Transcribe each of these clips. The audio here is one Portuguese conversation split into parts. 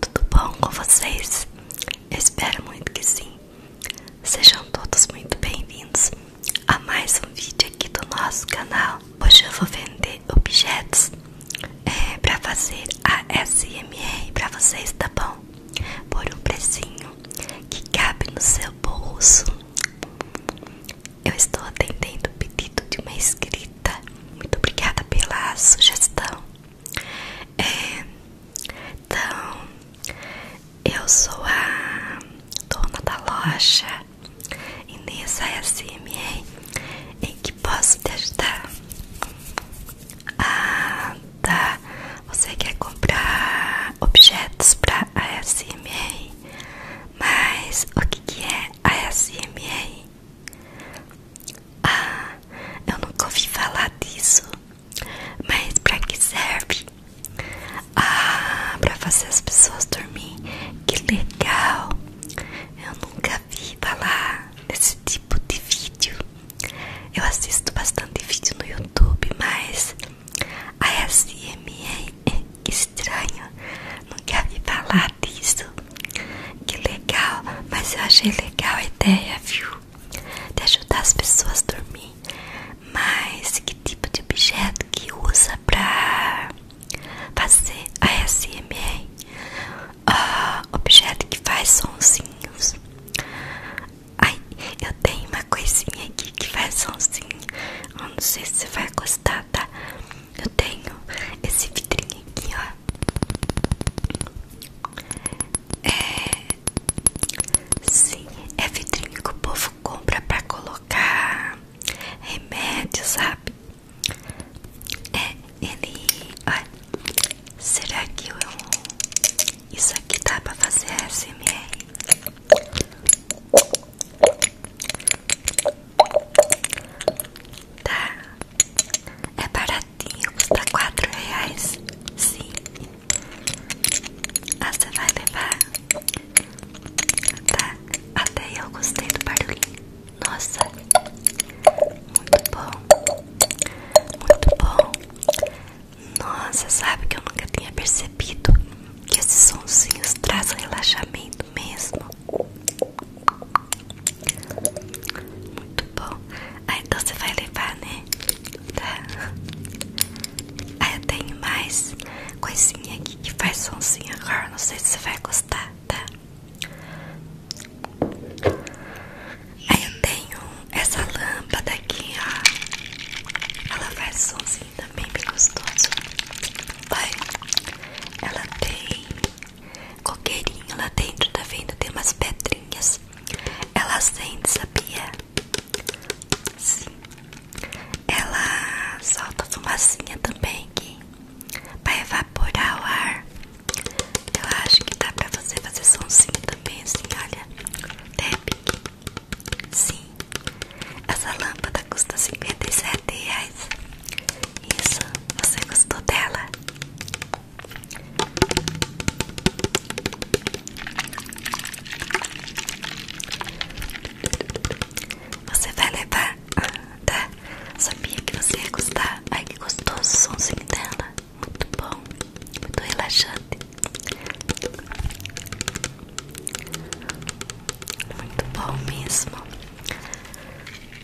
Tudo bom com vocês? espero muito que sim. Sejam todos muito bem-vindos a mais um vídeo aqui do nosso canal. Hoje eu vou vender objetos é, para fazer a SMR para vocês, tá bom? Por um precinho que cabe no seu bolso. Eu estou atendendo o pedido de uma inscrita. Muito obrigada pela sugestão. É, então, eu sou a dona da loja e nessa ASMR em que posso te ajudar? Ah, tá. Você quer comprar objetos para ASMR? Mas o que, que é ASMR? Ah, eu nunca ouvi falar disso. Mas pra que serve? Ah, pra fazer as pessoas dormirem. Que legal! Eu nunca vi falar desse tipo de vídeo. Eu assisto bastante vídeo no YouTube, mas a SMR é estranho. Nunca vi falar disso. Que legal, mas eu achei legal a ideia, viu? De ajudar as pessoas a dormir. Mas que tipo de objeto que usa pra fazer a SMR? Oh, ah, objeto que faz sonzinhos. Ai, eu tenho uma coisinha aqui que faz sonzinho. Eu não sei se você vai gostar, tá? Eu tenho esse vidrinho aqui, ó. É. Sim, é vidrinho que o povo compra pra colocar remédio, sabe? É, ele. Olha, será que Isso aqui tá pra fazer SMR? Tá. É baratinho, custa 4 reais. Sim. Ah, você vai levar? Tá. Até eu gostei do barulhinho. Nossa. Muito bom. Muito bom. Nossa, sabe que eu nunca tinha percebido que esses sonsinhos trazem relaxamento mesmo. Muito bom. Ah, então você vai levar, né? Tá. Ah, eu tenho mais coisinha aqui que faz somzinho agora. Não sei se você vai gostar, tá? Aí eu tenho essa lâmpada aqui, ó. Ela faz somzinho também bem gostoso. vai? ela tem coqueirinho lá dentro, tá vendo? Tem umas pedrinhas. Ela acende, sabia? Sim. Ela solta fumacinha também que vai evaporar o ar. Eu acho que dá para você fazer somzinho também, assim, olha. Deb. Sim. Essa lâmpada custa 57 reais. Isso, você gostou dela? Você vai levar? Tá? Sabia que você ia gostar. Ai que gostoso o somzinho dela. Muito bom, muito relaxante. Muito bom mesmo.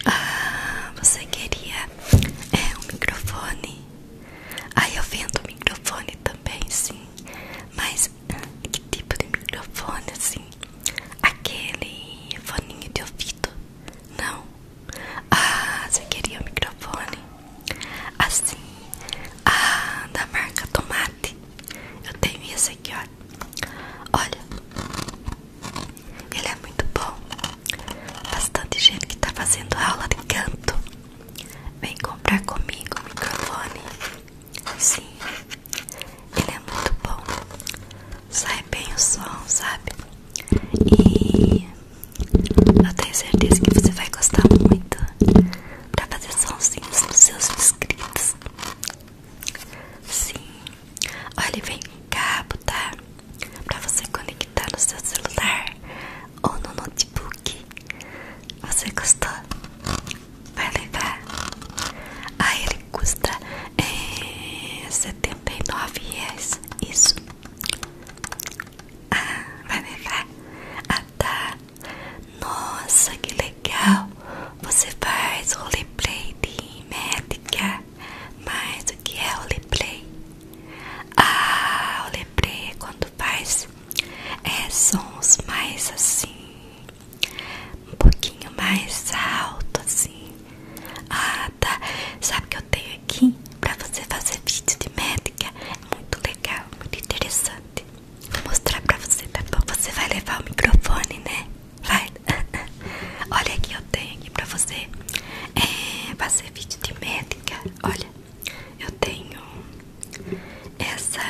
Ah, você queria é, um microfone? Aí ah, eu vendo microfone também, sim. Mas que tipo de microfone, assim? Aquele foninho de ouvido? Não? Ah, você queria um microfone? Assim, ah, da marca Tomate. Eu tenho esse aqui, ó. Olha, ele é muito bom. Bastante gente que tá fazendo aula de canto. Vem comprar comigo o microfone. Sim, ele é muito bom. Sai bem o som, sabe? E eu tenho certeza que você vai gostar muito pra fazer sonzinhos dos seus inscritos. Sim. Olha, vem cabo, tá? Pra você conectar no seu celular ou no notebook. Você gostou? Vai levar? Ah, ele custa é, R$ 79 Isso. Ah, vai levar? Ah, tá. Nossa, que legal! Você faz roleplay de médica. Mas o que é o roleplay? Ah, o roleplay é quando faz é, sons mais assim, um pouquinho mais alto assim. Ah, tá. Sabe o que eu tenho aqui pra você fazer vídeo de médica? É muito legal, muito interessante. Vou mostrar pra você, tá bom? Você vai levar o microfone, né? Vai. Olha aqui, eu tenho aqui pra você. É, pra vídeo de médica. Olha, eu tenho essa.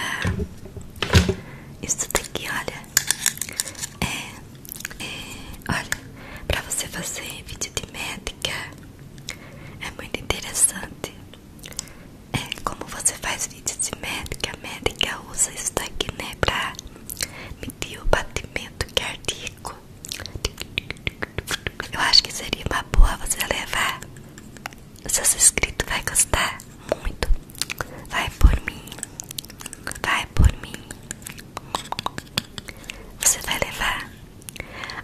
Isso daqui, olha. É, é, olha, pra você fazer vídeo de médica. É muito interessante. É, como você faz vídeo de médica, a médica usa isso daqui, né? Pra sentir o batimento cardíaco. Eu acho que seria uma boa você levar. Seus inscritos vai gostar muito. Vai por mim. Vai por mim. Você vai levar.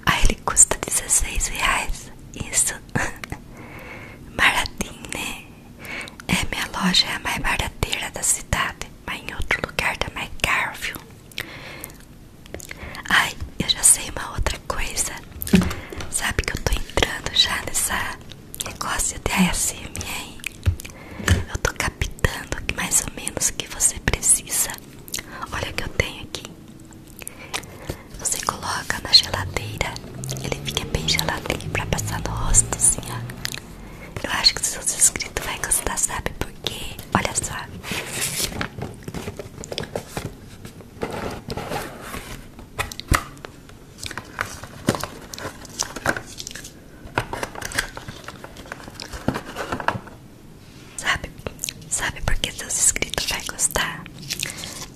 Aí ele custa 16 reais. Isso. Baratinho, né? É, minha loja é a mais barateira da cidade, mas em outro lugar tá mais caro, viu? Ai, eu já sei uma outra coisa. Sabe que eu tô entrando já nessa negócio de ASMR? Eu tô captando mais ou menos o que você precisa. Olha o que eu tenho aqui. Você coloca na geladeira, ele fica bem geladinho pra passar no rosto, assim, ó. Eu acho que seus inscritos vai gostar, sabe Porque, Olha só. Sabe, sabe por que seus inscritos vai gostar?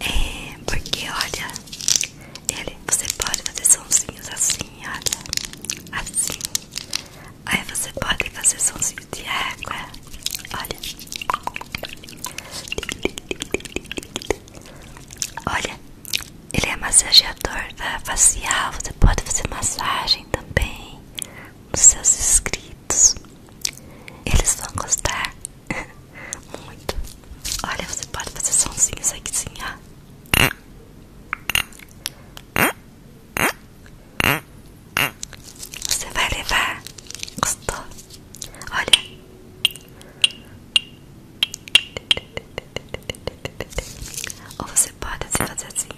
É porque olha, ele, você pode fazer sonzinhos assim, olha. Assim. Aí você pode fazer sonzinho de água. É. Olha. Olha, ele é massageador é, facial. Você pode fazer massagem também nos seus inscritos. Eles vão gostar. Muito. Olha, você pode fazer sonzinhos aqui sim, ah. Você vai levar. Gostou? Olha. Ou você pode fazer assim.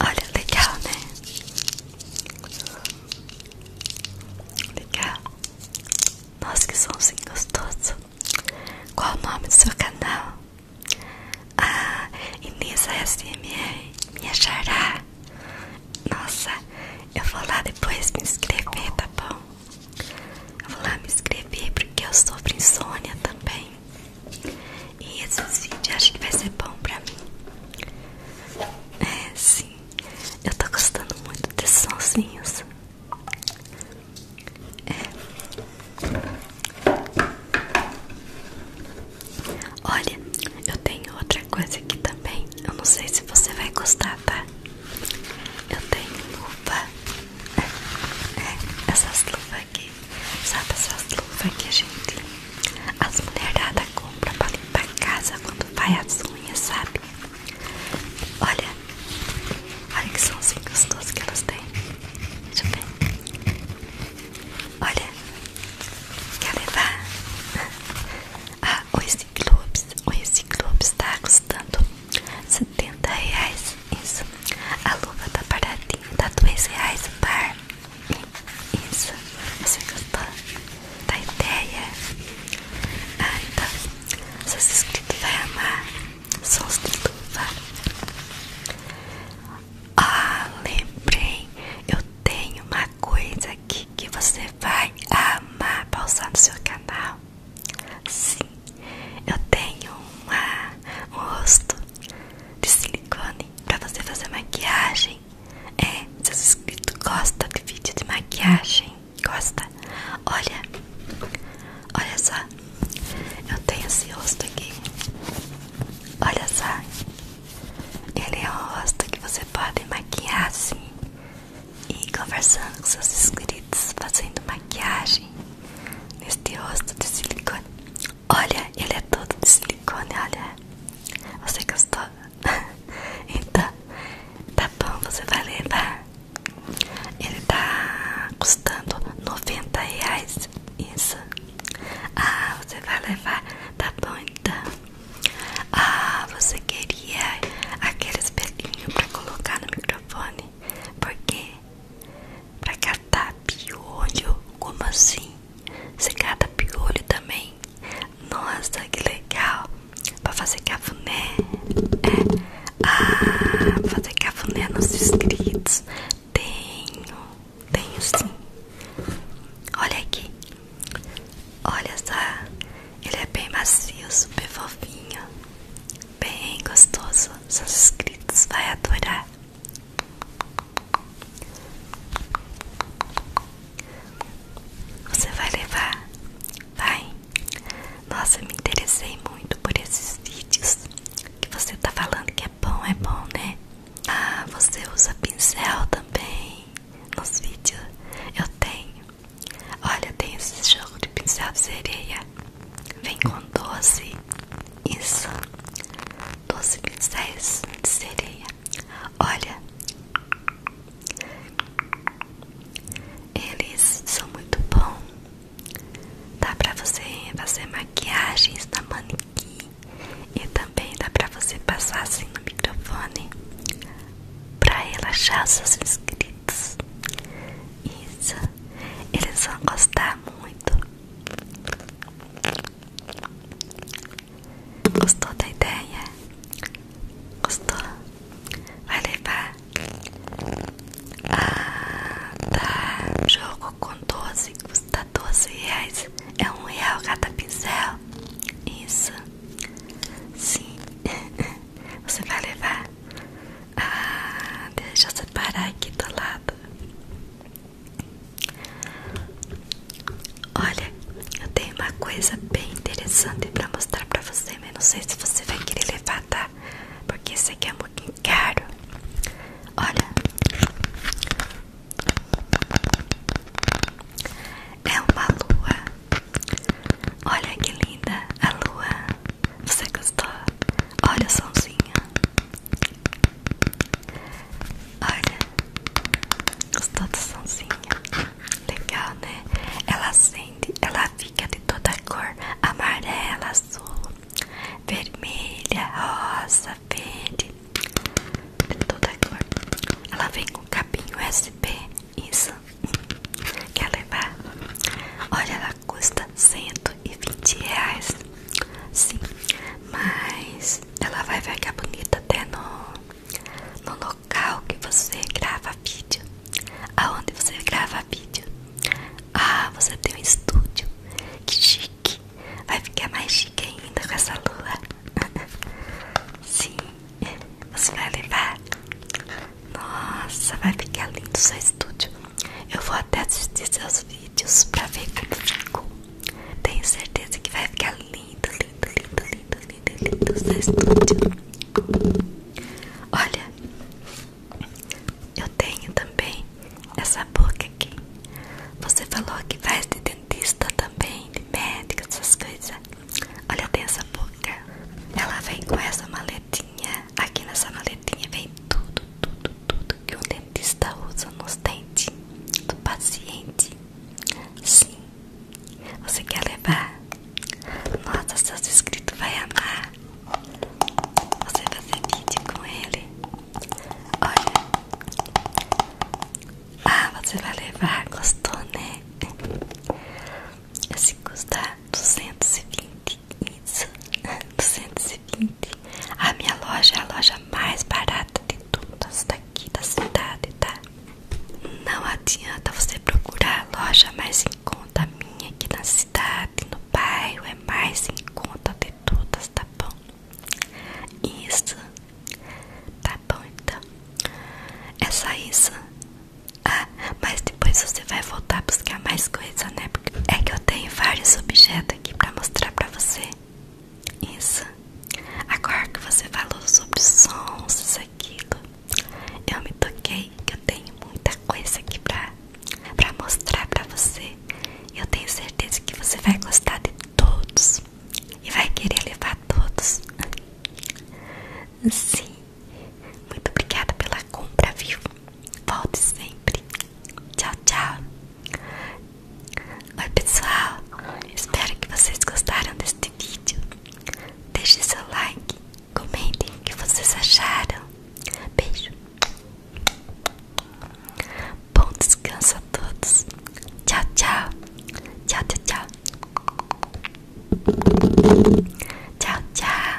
Olha, legal, né? Legal. Nossa, que somzinho assim gostoso. Qual o nome do seu canal? Ah, Inês ASMR, minha xará. Nossa, eu vou lá depois me inscrever, tá bom? Eu vou lá me inscrever porque eu sofro insônia também. E esses vídeos acho que vai ser bom pra mim. É, sim. Eu tô gostando muito desses sonsinhos. É. Olha, eu tenho outra coisa aqui também. Eu não sei se você vai gostar, tá? Eu tenho luva. É, é, essas luvas aqui. Sabe essas luvas que a gente as mulheradas compram pra limpar a casa quando vai as unhas, sabe? Olha, olha que são somzinho assim gostoso que elas têm. Deixa eu ver. Olha, quer levar? Ah, o Ciclopes, o Ciclopes tá custando 70 reais. Isso, a luva da paradinha, tá 2 tá reais o isso, você gostou da ideia? Ah, então, seus inscritos vai amar Sons de luva Ah, lembrei Eu tenho uma coisa aqui que você vai amar Pausar no seu canal Sim, eu tenho um rosto de silicone para você fazer maquiagem é, seu inscrito gosta de vídeo de maquiagem. Gosta? Olha, olha só. Eu tenho esse rosto aqui. Olha só. Ele é um rosto que você pode maquiar assim. E conversando com seus inscritos, fazendo maquiagem neste rosto de silicone. Olha, ele é todo de silicone, olha. Você gostou? então, tá bom, você vai levar. Ele tá custando 90 reais. Isso. Ah, você vai levar. Tá bom, então. Ah, você queria aqueles espelhinho pra colocar no microfone? Por quê? Pra catar piolho? Como assim? Você cata piolho também? Nossa, que legal! Pra fazer cafuné. É. Ah, pra fazer cafuné nos inscritos. Tenho. Tenho sim. Olha aqui. Olha só. Ele é bem macio, super fofinho. Bem gostoso. Seus inscritos vai adorar. Você vai levar? Vai! Nossa, me interessei muito por esses vídeos que você está falando que é bom, é bom, né? Ah, você usa pincel também nos vídeos. Eu tenho. Olha, tem esse jogo de pincel de sereia. Vem com doce. Isso. Doze pincéis de sereia. Olha, eles são muito bons. Dá pra você fazer maquiagens na manequim e também dá pra você passar assim no microfone pra relaxar os seus inscritos. Isso, eles vão gostar muito. Gostou da ideia? Gostou? Vai levar Ah tá Jogo com 12 Custa 12 reais É um real cada pincel Isso Sim Você vai levar Ah Deixa eu separar aqui do lado Olha, eu tenho uma coisa bem interessante pra mostrar pra você, mas não sei se você vai querer levar, tá? Porque isso aqui é um pouquinho caro. Olha, é uma lua. Olha que linda a lua. Você gostou? Olha o somzinho. Olha, os todos sonzinho? Legal, né? Ela acende, ela fica de toda cor: amarela, azul, vermelha, rosa, verde. De toda cor. Ela vem com cabinho SP, Isso. Quer levar? Olha, ela custa 120 reais. Sim, mas ela vai ficar bonita até no, no local que você grava vídeo. Aonde você grava vídeo? Ah, você tem um estúdio. Que chique! Vai ficar mais chique ainda com essa lua. Sim, você vai levar. Nossa, vai ficar lindo o seu estúdio. Eu vou até assistir seus vídeos pra ver como ficou. Tenho certeza que vai ficar lindo, lindo, lindo, lindo, lindo, lindo no estúdio. Olha, eu tenho também essa boca aqui. Você falou que faz de dentista também, de médico, essas coisas. Olha, tem essa boca. Ela vem com essa maletinha. Aqui nessa maletinha vem tudo, tudo, tudo, que um dentista usa nos dentes do paciente. Sim, você quer levar? Nossa, seus inscritos vai amar. Você vai fazer vídeo com ele. Olha. Ah, você vai levar. Gostou, né? Se custar 220. Isso. 220. A minha loja é a loja mais barata de todas daqui da cidade, tá? Não adianta você procurar a loja mais em conta minha aqui na cidade, no bairro, é mais em conta de todas, tá bom? Isso, tá bom então. É só isso. Ah, mas depois você vai voltar a buscar mais coisa, né? Porque é que eu tenho vários objetos Tá aqui para mostrar para você. Isso. Agora que você falou sobre sons, isso aquilo, eu me toquei que eu tenho muita coisa aqui pra, pra mostrar pra você. Eu tenho certeza que você vai gostar de todos e vai querer levar todos. Sim. Muito obrigada pela compra, viu? Volte sempre. Tchau, tchau. Oi, pessoal. Espero que vocês gostaram deste vídeo. Deixe seu like, comentem o que vocês acharam. Beijo. Bom descanso a todos. Tchau, tchau. Tchau, tchau, tchau. Tchau, tchau.